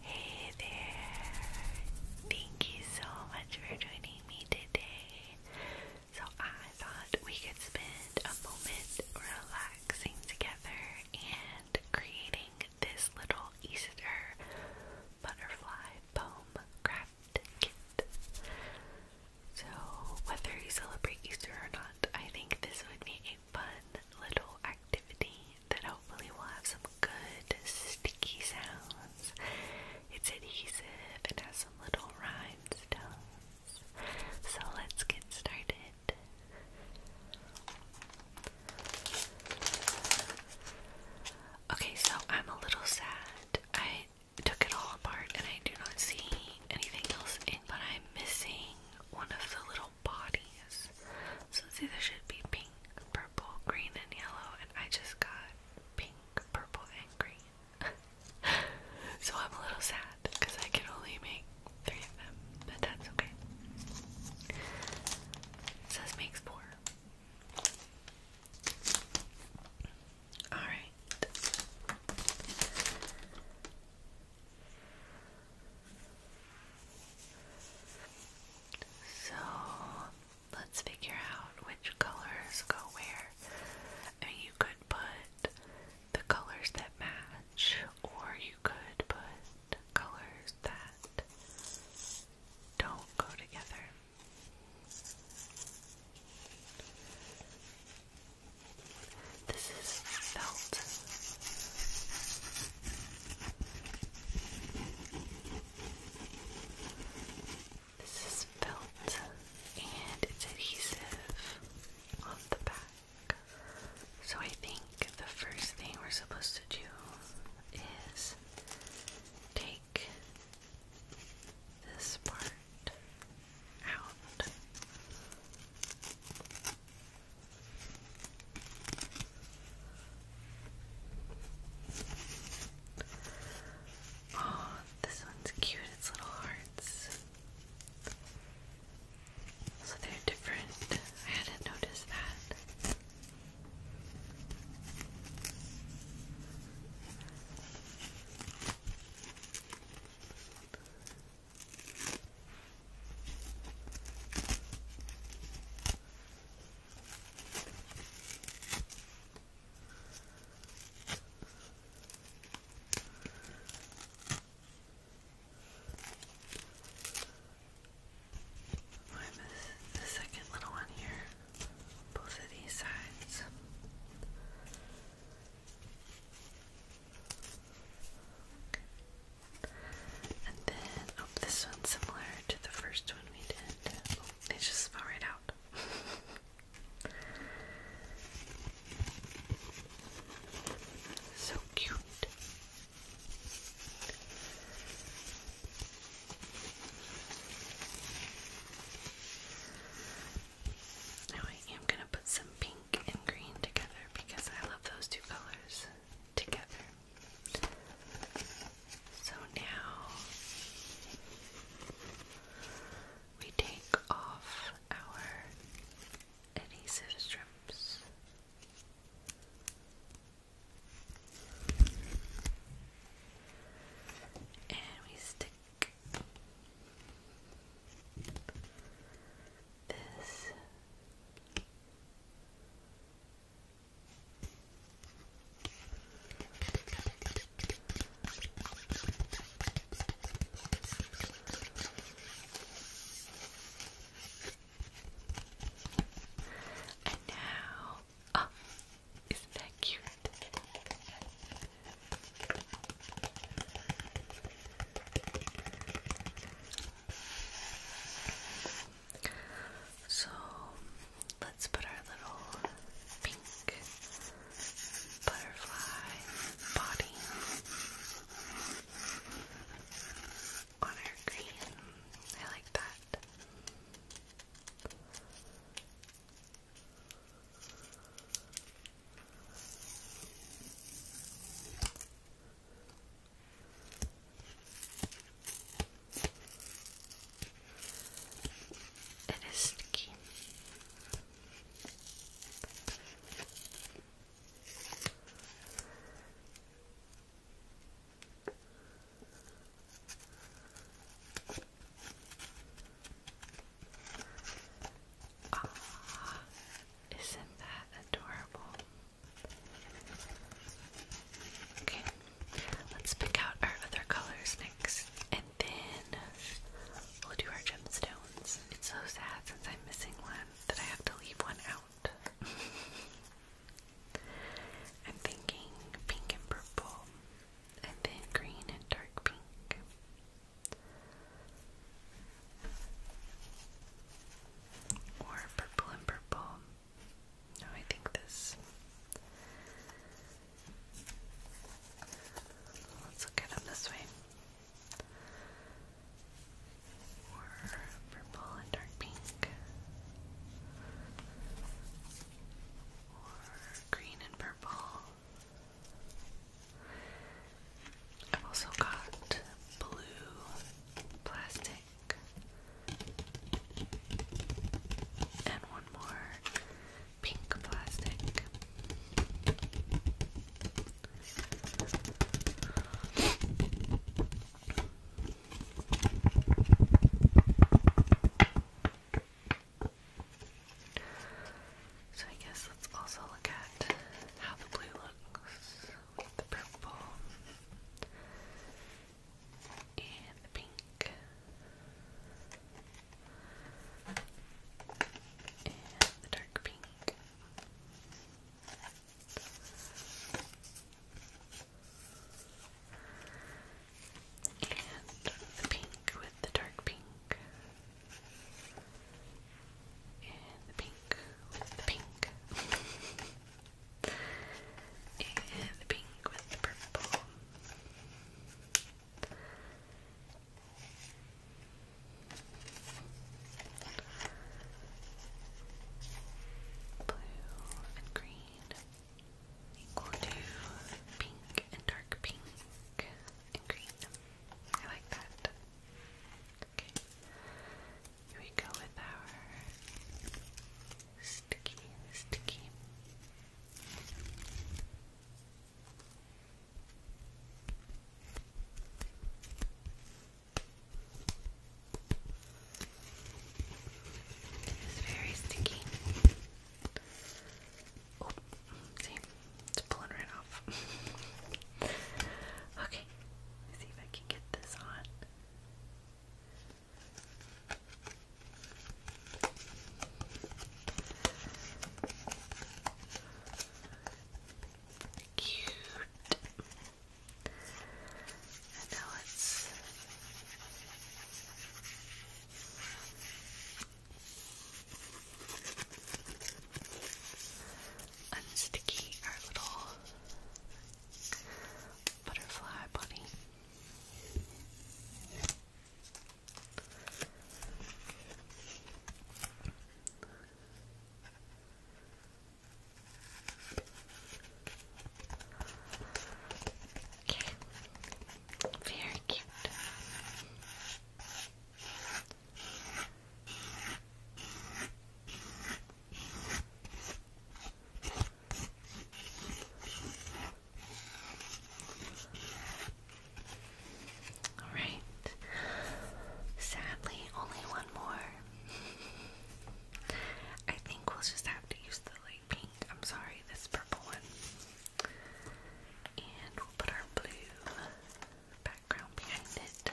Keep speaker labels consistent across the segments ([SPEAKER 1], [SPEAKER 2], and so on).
[SPEAKER 1] Hey there! Thank you so much for joining me today. So, I thought we could spend a moment relaxing together and creating this little Easter butterfly poem craft kit. So, whether you celebrate Easter or not, I think this would be a fun little activity that hopefully will have some good sticky sounds. It's adhesive and has some little rhinestones. So let's get started. Okay, so I'm a little sad. I took it all apart and I do not see anything else in, but I'm missing one of the little bodies. So it's either should be pink, purple, green, and yellow, and I just got pink, purple, and green. so I'm a little sad because I can only make three of them, but that's okay. says makes four. Alright. So let's figure out which colors go where. you could put the colors that match, or you could put colors that don't go together. This is felt. This is felt and it's adhesive on the back. So I think the first thing we're supposed to do is take this part out. Oh, this one's cute, it's little hearts. So they're different. I hadn't noticed that. Or this, the second little one here, both of these sides. And then, this one's similar to the first one we did. Oh, just spell right out. so cute. Now I am going to put some pink and green together because I love those two colors together. So now we take off our adhesive strips. And we stick this and now, oh, isn't that cute? So let's put our little pink butterfly body on our green. I like that. It is sticky. Ah, isn't that adorable? Okay, let's pick out our other colors next, and then we'll do our gemstones. It's so sad since I'm missing one that I have to leave one out. I'm thinking pink and purple, and then green and dark pink. Or purple and purple, no, I think this. Let's look at them this way. Or purple and dark pink. Or green and purple. I've also got blue plastic and one more pink plastic. So I guess let's also look at how the blue looks with the purple and the pink and the dark pink. And the pink with the dark pink. And the pink with the pink. and pink with purple. Blue and green equal to pink and dark pink and green. I like that we go with our sticky, sticky. It is very sticky. Oh, see, it's pulling right off. okay, see if I can get this on. Cute. And now let's unsticky our little butterfly bunny. very cute. All right. Sadly, only one more. I think we'll just have to use the light pink. I'm sorry, this purple one. And we'll put our blue background behind it.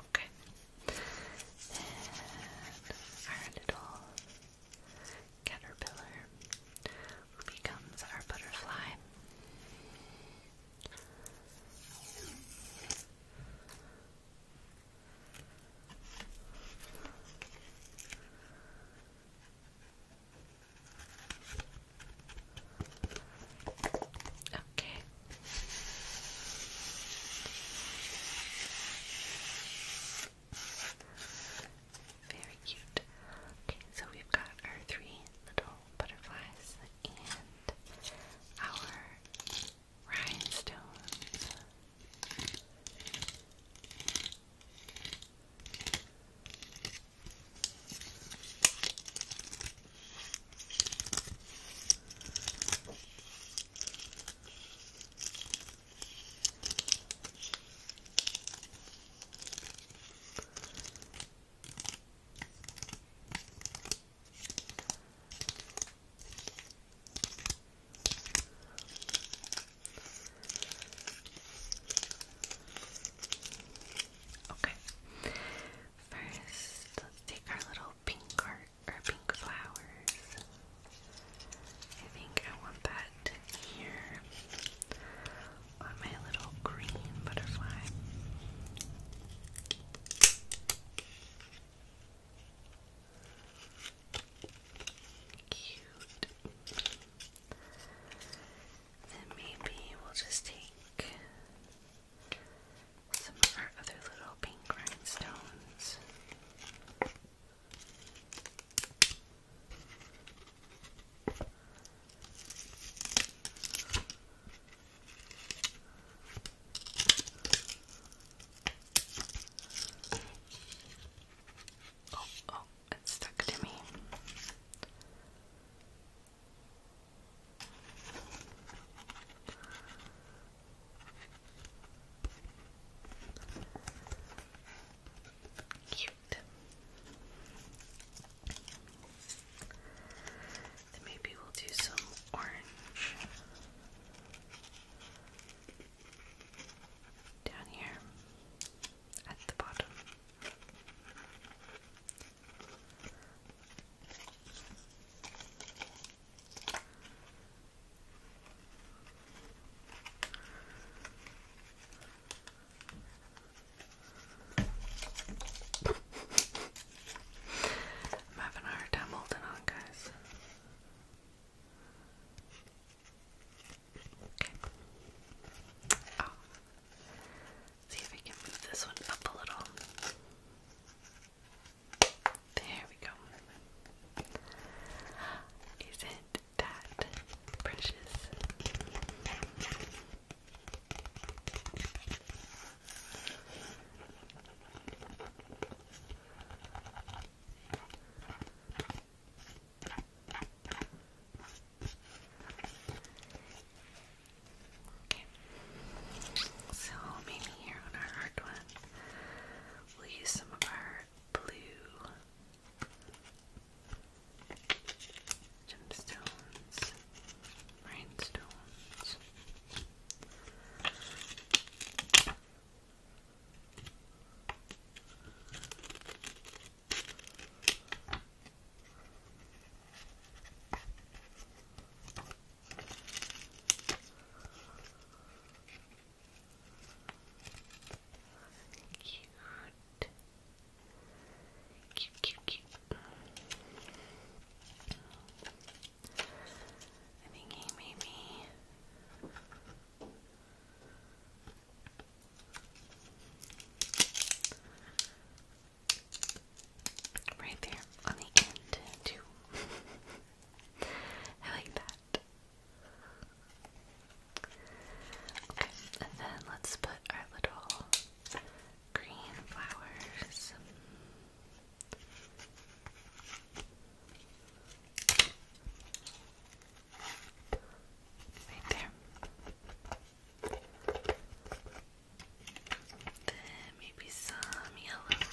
[SPEAKER 1] Okay. And iron it caterpillar becomes our butterfly. Okay. Very cute. Okay, so we've got our three little butterflies and our rhinestones. Okay. First, let's take our little pink heart or pink flowers. I think I want that here on my little green butterfly. Cute. Then maybe we'll just take some of our other little pink rhinestones. Oh, oh, it's stuck to me. Here cute. Then maybe we'll do some orange down here at the bottom. I'm having a hard time holding on, guys. Okay. Oh. See if we can move this one up a little. There we go. Isn't that precious. Okay. So maybe here on our hard one, we'll use some of our blue gemstones, rhinestones. Cute. Cute, cute, cute. I think he made me. Right there on the end, too. I like that. Okay, and then let's put our little green flowers. Right there. Then maybe some yellow.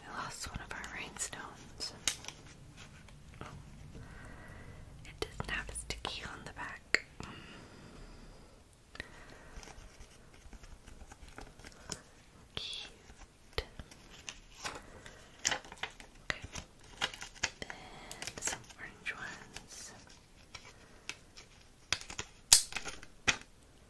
[SPEAKER 1] We lost one of our rainstones. It doesn't have a sticky on the back. Cute. Okay. And some orange ones.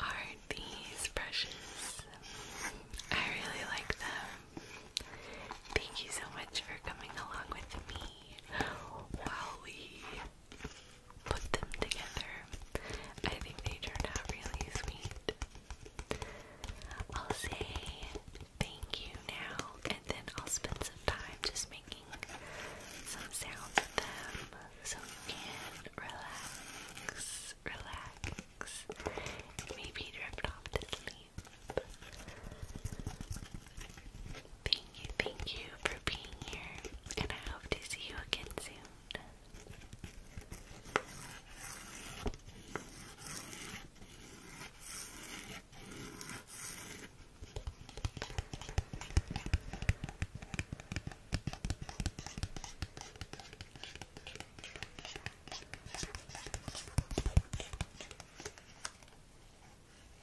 [SPEAKER 1] Are these brushes? I really like them. Thank you so much for coming along with me while we put them together. I think they turned out really sweet. I'll say thank you now, and then I'll spend some time just making some sounds of them so you can relax, relax, maybe drift off to sleep. Thank you, thank you for being here, and I hope to see you again soon.